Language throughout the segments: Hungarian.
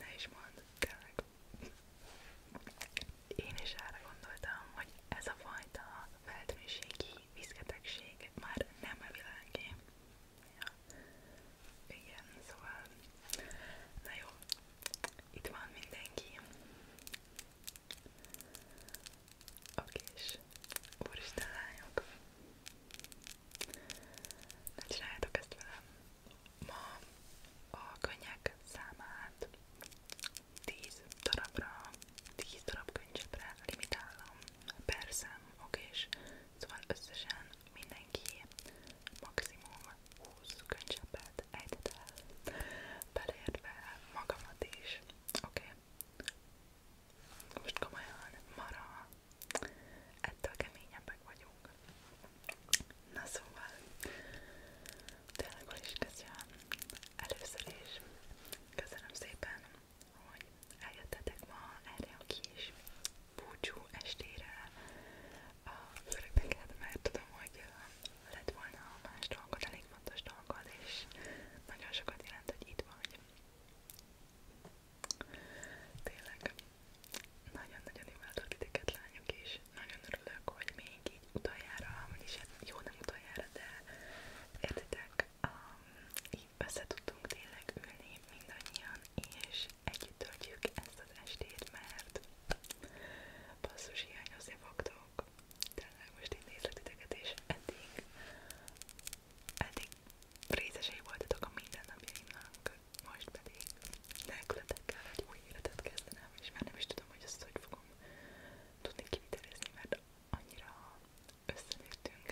Ne is mondd, tényleg. Én is erre gondoltam, hogy ez a fajta feltűnőségi viszketegség már nem a világé. Ja. Igen, szóval... Na jó, itt van mindenki. Oké, és úristen lányok. Ne csináljátok ezt velem ma a könnyek számát 10 darabra, 10 darab könycsepre limitálom per szám, oké, és szóval összesen mindenki maximum 20 könycsepet ejtett el, beleértve magamat is, oké? Most komolyan, mara ettől keményebbek vagyunk. Na szóval, tényleg is köszönöm először is. Köszönöm szépen, hogy eljöttetek ma erre a kis búcsú estére. A főleg neked, mert tudom, hogy lett volna más dolgod, elég fontos dolgod, és nagyon sokat jelent, hogy itt vagy. Tényleg nagyon-nagyon imádok titeket lányok és nagyon örülök, hogy még így utoljára, vagyis hát jó nem utoljára, de értitek, um, így össze tudtunk tényleg ülni mindannyian, és együtt töltjük ezt az estét, mert basszus hiányozni fogtok. Tényleg most én nézlek titeket, és eddig, eddig részesei voltatok a mindennapjaimnak, most pedig nélkületek kell egy új életet kezdenem, és már nem is tudom, hogy ezt hogy fogom tudni kivitelezni, mert annyira összenértünk.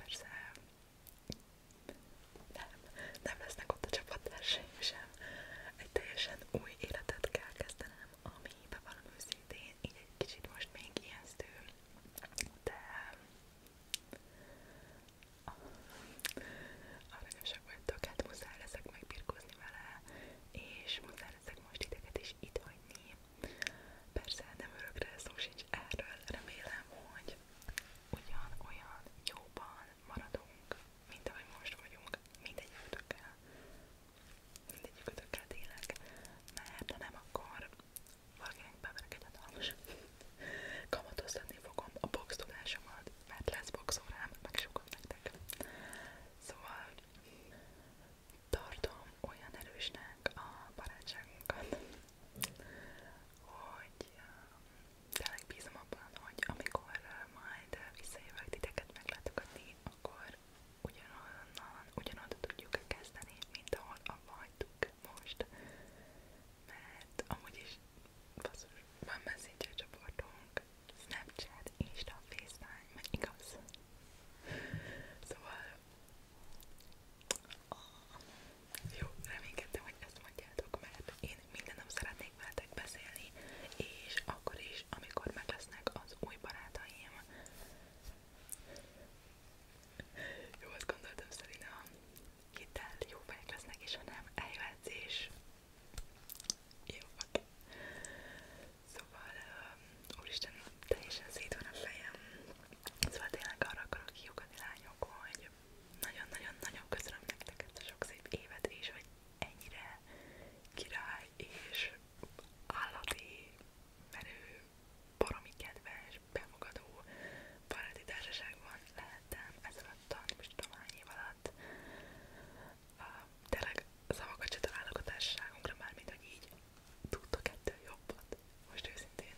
Persze nem, nem lesznek ott a csapattársaim sem. Egy teljesen új életet kell kezdenem, ami bevallom őszintén, így egy kicsit most még ijesztő, de aranyosak vagytok, hát muszáj leszek megbirkózni vele, és muszáj leszek most ideget is itt hagyni. Persze nem örökre szó sincs erről, remélem, hogy ugyan olyan jóban maradunk, mint ahogy most vagyunk, mindegyikütökkel. Mindegyikütökkel tényleg, mert ha nem, akkor Valakinek beverek egy hatalmas. Kamatoztatni fogom a box tudásomat, mert lesz boxórám, megsugom nektek. Szóval tartom olyan erősnek a barátságunkat, hogy tényleg bízom abban, hogy amikor majd visszajövök titeket meglátogatni, akkor ugyanonnan, ugyanoda tudjuk kezdeni, mint ahol abba hagytuk most, mert amúgy is basszus, van messenger csoportunk, Snapchat, Insta, FaceTime, meg igaz? Szóval oh, jó, reménykedtem, hogy ezt mondjátok, mert én minden nap szeretnék veletek beszélni, és akkor is, amikor meg lesznek az új barátaim, jó, azt gondoltam, Szelina, hitel jó fejek lesznek, és ha nem, eljöhetsz és... Jó, oké. Szóval, um, úristen, teljesen szét van a fejem. Szóval tényleg arra akarok kiukadni, lányok, hogy nagyon-nagyon-nagyon köszönöm nektek ezt a sok szép évet, és hogy ennyire király és állati menő baromi kedves, befogadó baráti társaságban lehettem ez alatt a nem is tudom hány év alatt. Uh, tényleg szavakat se találok a társaságunkra, mármint hogy így tudtok ettől jobbat. Most őszintén.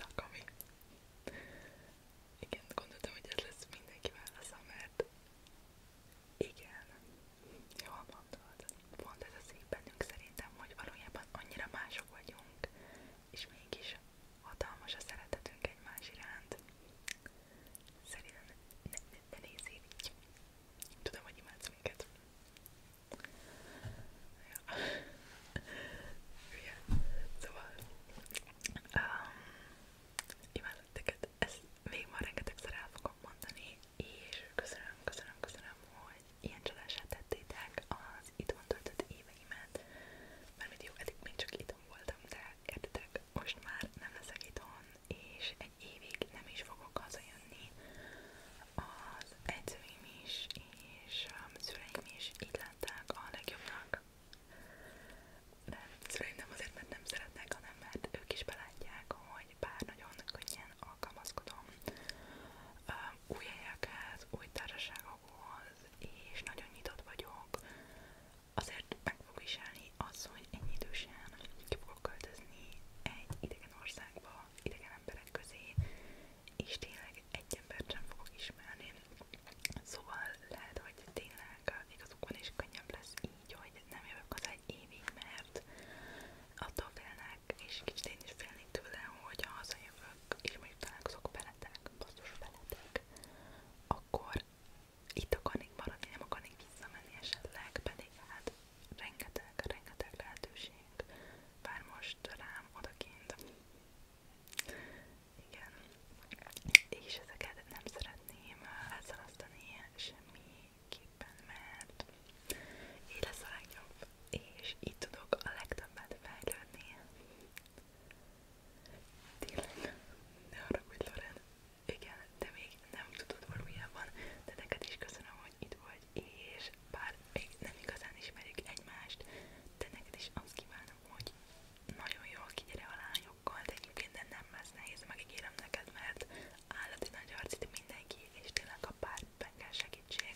Na, Kami. Igen, gondoltam, hogy ez lesz mindenki válasza, mert igen, Jól mondod. Pont ez az így bennünk szerintem, hogy valójában annyira mások vagyunk, és mégis hatalmas a szeretetünk egymás iránt. Szerintem ne, ne, ne nézzél így. Tudom, hogy imádsz minket. Ja. ja. Szóval um, imádok teket. Ezt még ma rengetegszer el fogok mondani, és köszönöm, köszönöm, köszönöm, hogy ilyen csodását tettétek az itthon töltött éveimet, mert jó, eddig még csak itthon voltam, de értitek, most már nem leszek itthon, és egy évig nem is fogok hazajönni, az edzőim is, és a szüleim is így látták a legjobbnak. De szüleim nem azért, mert nem szeretnek, hanem mert ők is belátják, hogy bár nagyon könnyen alkalmazkodom új helyekhez, új társaságokhoz, és nagyon nyitott vagyok, azért meg fog is állni az, hogy ennyi idősen ki fogok költözni egy idegen országba, idegen emberek közé, és tényleg egy embert sem fogok ismerni. Szóval lehet, hogy tényleg igazuk van és könnyebb lesz így, hogy nem jövök az egy évig, mert attól félnek, és kicsit én is félnék tőle, hogy ha hazajövök, és mondjuk találkozok veletek, basszus veletek, akkor itt akarnék maradni, nem akarnék visszamenni esetleg, pedig hát rengeteg, rengeteg lehetőség vár most rám odakint. Igen. És ezeket nem szeretném elszalasztani semmi mindenképpen, mert így lesz a legjobb, és így tudok a legtöbbet fejlődni. Tényleg, ne haragudj, Loren. Igen, te még nem tudod valójában, de neked is köszönöm, hogy itt vagy, és bár még nem igazán ismerjük egymást, de neked is azt kívánom, hogy nagyon jól kigyere a lányokkal, de egyébként nem lesz nehéz, megígérem neked, mert állati nagy arcit mindenki, és tényleg a pártben kell segítség.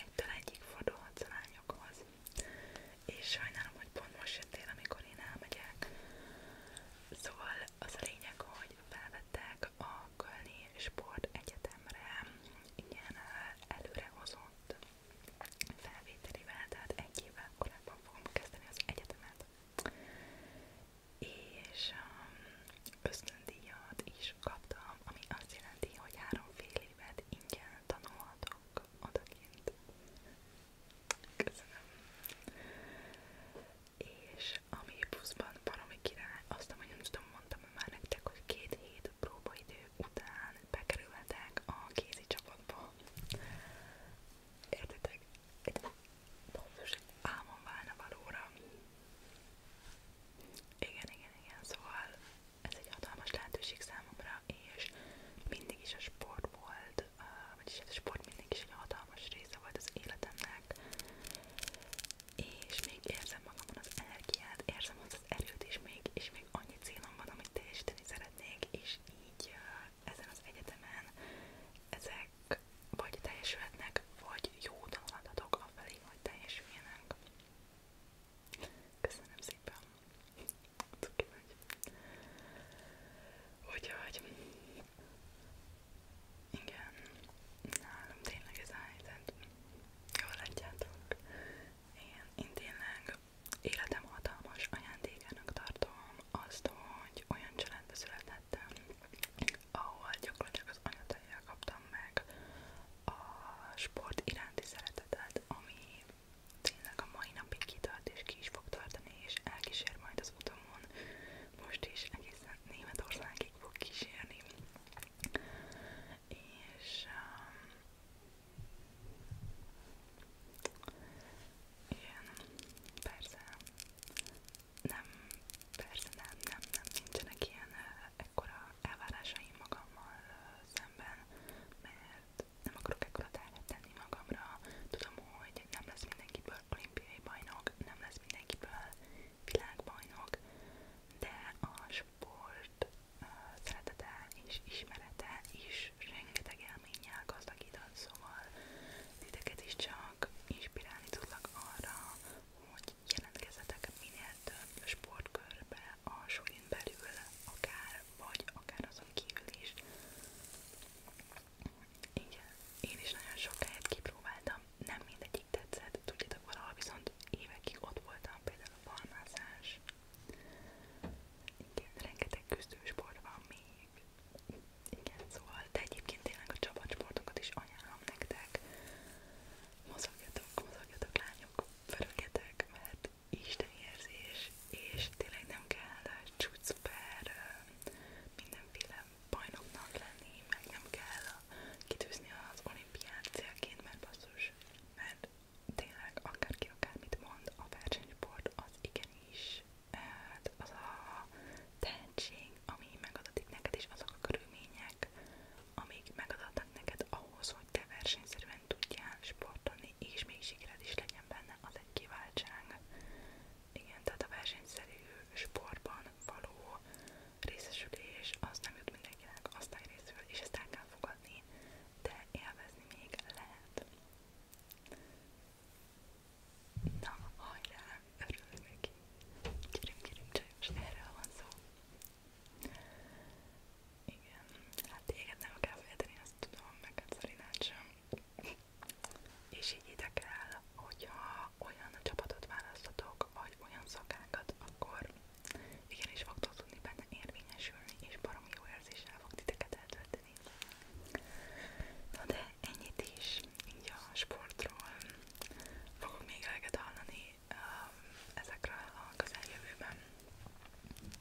Egytől egyik fordulhatsz a lányokhoz. És sajnálom, hogy pont most jöttél, amikor én elmegyek. Szóval az a lényeg, hogy felvettek a Kölni Sport Egyetemre ilyen előrehozott felvételivel, tehát egy évvel korábban fogom kezdeni az egyetemet és um, ösztöndíjat is kaptam, ami azt jelenti, hogy három fél évet ingyen tanulhatok odakint. Köszönöm. És ami pluszban valami király, azt hogy nem tudom, mondtam már nektek, hogy két hét próbaidő után bekerülhetek a kézi csapatba. Értitek? Egy pontos, egy álmom válna valóra. Igen, igen, igen, szóval ez egy hatalmas lehetőség számomra, és mindig is a sport volt, vagyis hát a sport mindig is egy hatalmas része volt az életemnek, és még érzem magamon az energiát, érzem azt az erőt is még, és még annyi célom van, amit teljesíteni szeretnék, és így ezen az egyetemen ezek teljesülnek, vagy teljesülhetnek, vagy jó tanulantatok afelé, hogy teljesüljenek. Köszönöm szépen! Cuki vagy! Úgyhogy... Igen, nálunk tényleg ez a helyzet. Jól látjátok. Én, én tényleg életem hatalmas ajándékának tartom azt, hogy olyan családba születettem, ahol gyakorlatilag az anyateljel kaptam meg a sport iránti szeretetet, ami tényleg a mai napig kitart és ki is fog tartani, és elkísér majd az utamon. Most is egészen Németországig fog kísérni. És um, igen, persze. Nem, persze nem, nem, nem, nincsenek ilyen ekkora elvárásaim magammal szemben, nem akarok ekkora tenni magamra. Tudom, hogy nem lesz mindenkiből olimpiai bajnok, nem lesz mindenkiből világbajnok, de a sport szeretete és ismerete is és rengeteg élménnyel gazdagított, szóval titeket is csak inspirálni tudlak arra, hogy jelentkezzetek minél több sportkörbe a súlyin belül, akár vagy akár azon kívül is. Igen, én is nagyon sok helyet kipróbáltam, nem mindegyik tetszett, tudjátok valahol viszont évekig ott voltam, például a balmázás, igen, rengeteg küzdősport van még. Igen, szóval, de egyébként tényleg a csapatsportokat is ajánlom nektek. Mozogjatok, mozogjatok lányok, pörögjetek, mert isteni érzés, és tényleg nem kell csúcsper mindenféle bajnoknak lenni, meg nem kell kitűzni az olimpiát célként, mert basszus, mert tényleg akárki akármit mond, a versenysport az igenis hát az a tehetség, ami megadatik neked, és azok a körülmények, amik megadatnak neked ahhoz, hogy te versenyszerűen tudjál sportolni, és még sikered is legyen benne, az egy kiváltság. Igen, tehát a versenyszerű sportban való részesülés az nem jut mindenkinek aztán részül, és ezt el kell fogadni, de élvezni még lehet. Na, hajrá, örülök neki. Kérem, kérem, csajos, erről van szó. Igen, hát téged nem kell félteni, azt tudom, meg a hát Szerinát sem. És így ide kell, hogyha olyan csapatot választatok, vagy olyan szakákat, akkor igenis fogtok tudni benne érvényesülni, és baromi jó érzéssel fog titeket tölteni. Na de ennyit is így a sportról. Fogok még eleget hallani um, ezekről a közeljövőben. Mm.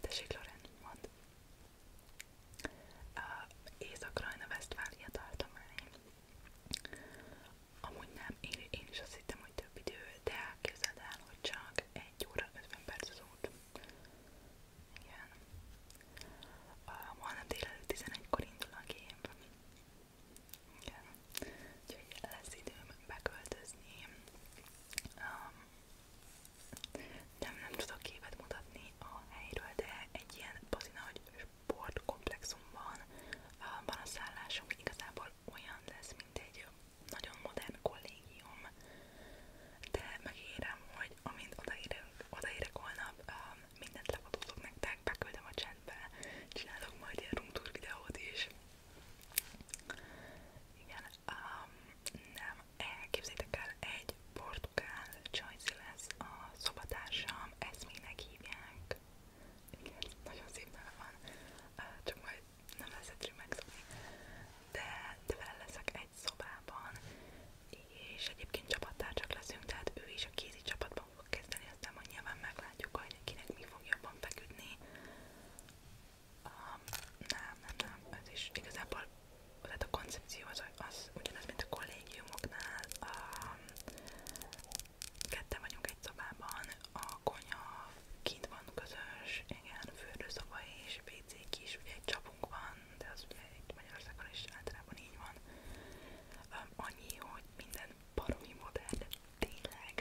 Tessék, Loren, mond. Uh, Észak-Rajna-Vesztfália tartomány. Amúgy nem, én, én is azt hittem, hogy több idő, de képzeld el, hogy csak 1 óra 50 perc az út. Igen. Holnap délelőtt 11-kor indul a gép. Igen. Úgyhogy lesz időm beköltözni. Um, nem, nem tudok képet mutatni a helyről, de egy ilyen bazinagy sportkomplexumban van a szállás, ami igazából olyan lesz, mint egy nagyon modern kollégium, de megérem, hogy amint odaérek, odaérek holnap, mindent lefotózok nektek, beküldöm a chatbe, csinálok majd ilyen room tour videót is. Igen, um, nem, elképzeljétek el, egy portugál csajci lesz a szobatársam, ezt még hívják. Igen, nagyon szépen van, csak majd nem lesz egyszerű megszokni. De, de vele leszek egy szobában, és egyébként csapattárcsak leszünk, tehát ő is a kézi csapatban fog kezdeni, aztán majd nyilván meglátjuk, hogy kinek mi fog jobban feküdni. Um, nem, nem, nem, ez is igazából tehát a koncepció az, az ugyanaz, mint a kollégiumoknál. Um, ketten vagyunk egy szobában, a konyha kint van közös, igen, fürdőszoba és WC is, ugye egy csapunk van, de az ugye itt Magyarországon is általában így van. Um, annyi, hogy minden baromi modern, tényleg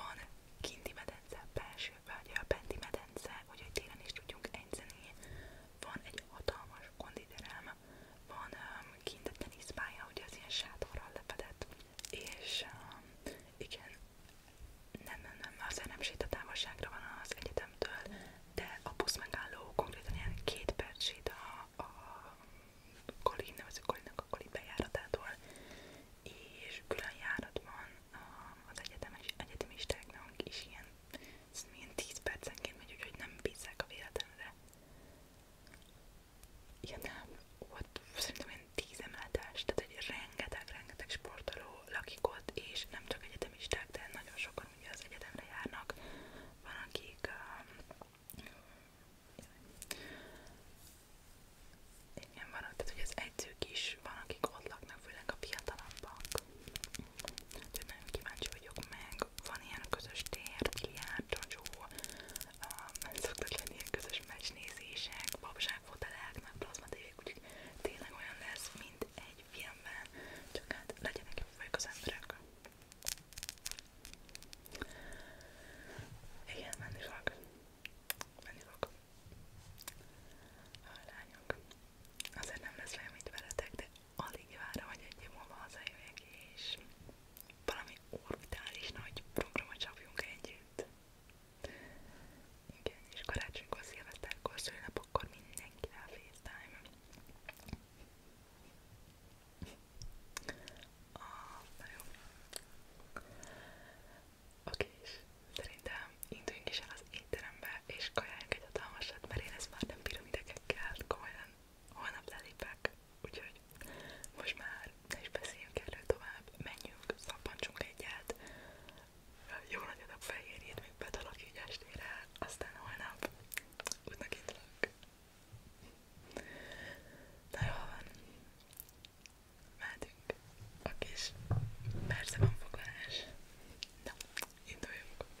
van kinti medence, belső, vagy a benti medence, hogy télen is tudjunk enyszeni. Van egy hatalmas konditerem, van um, kint a teniszpálya, ugye az ilyen sátorral lefedett, és um, igen, nem, nem, nem, azért nem sétatávolságra van az egyetemtől, de a busz megálló konkrétan ilyen két perc sét a, a Kolin, nevezzük Kolinnak a Kolin bejáratától, és külön járat van um, az egyetemes, egyetemistáknak is ilyen, ez milyen 10 percenként megy, úgyhogy nem bízzák a véletlenre ilyen, volt szerintem olyan tíz emeltes, tehát egy rengeteg-rengeteg sportoló lakik ott, és nem csak egyetemisták, de nagyon sokan ugye az egyetemre járnak, van akik um, igen, van, tehát hogy az edzők is van, akik ott laknak, főleg a fiatalabbak. Úgyhogy nagyon kíváncsi vagyok meg, van ilyen közös tér, biliárd, csacsó, um, szoktak lenni ilyen közös meccsnézések, babságfotelek, meg plazmatévék, úgyhogy tényleg olyan lesz, mint egy filmben, csak hát legyenek jobbak az emberek. Igen, menni fog. Menni fog. A lányok. Azért nem lesz leemít veletek, de alig várom, hogy egy év múlva hazajöjjek, és valami orbitális nagy programot csapjunk együtt. Igen, és karácsonykor, szilveszterkor, szülinapokor mindenkivel FaceTime. Ah, na jó. Oké, és szerintem induljunk is el az étterembe, és kajáljunk egy hatalmasat, mert én ezt már nem bírom idegekkel, komolyan holnap lelépek, úgyhogy most már ne is beszéljünk erről tovább, menjünk, szappancsunk egyet, jó nagy adag fehér még betalak így estére, aztán holnap útnak indulok. Na jól van, mehetünk a kis persze van foglalás. Na, induljunk!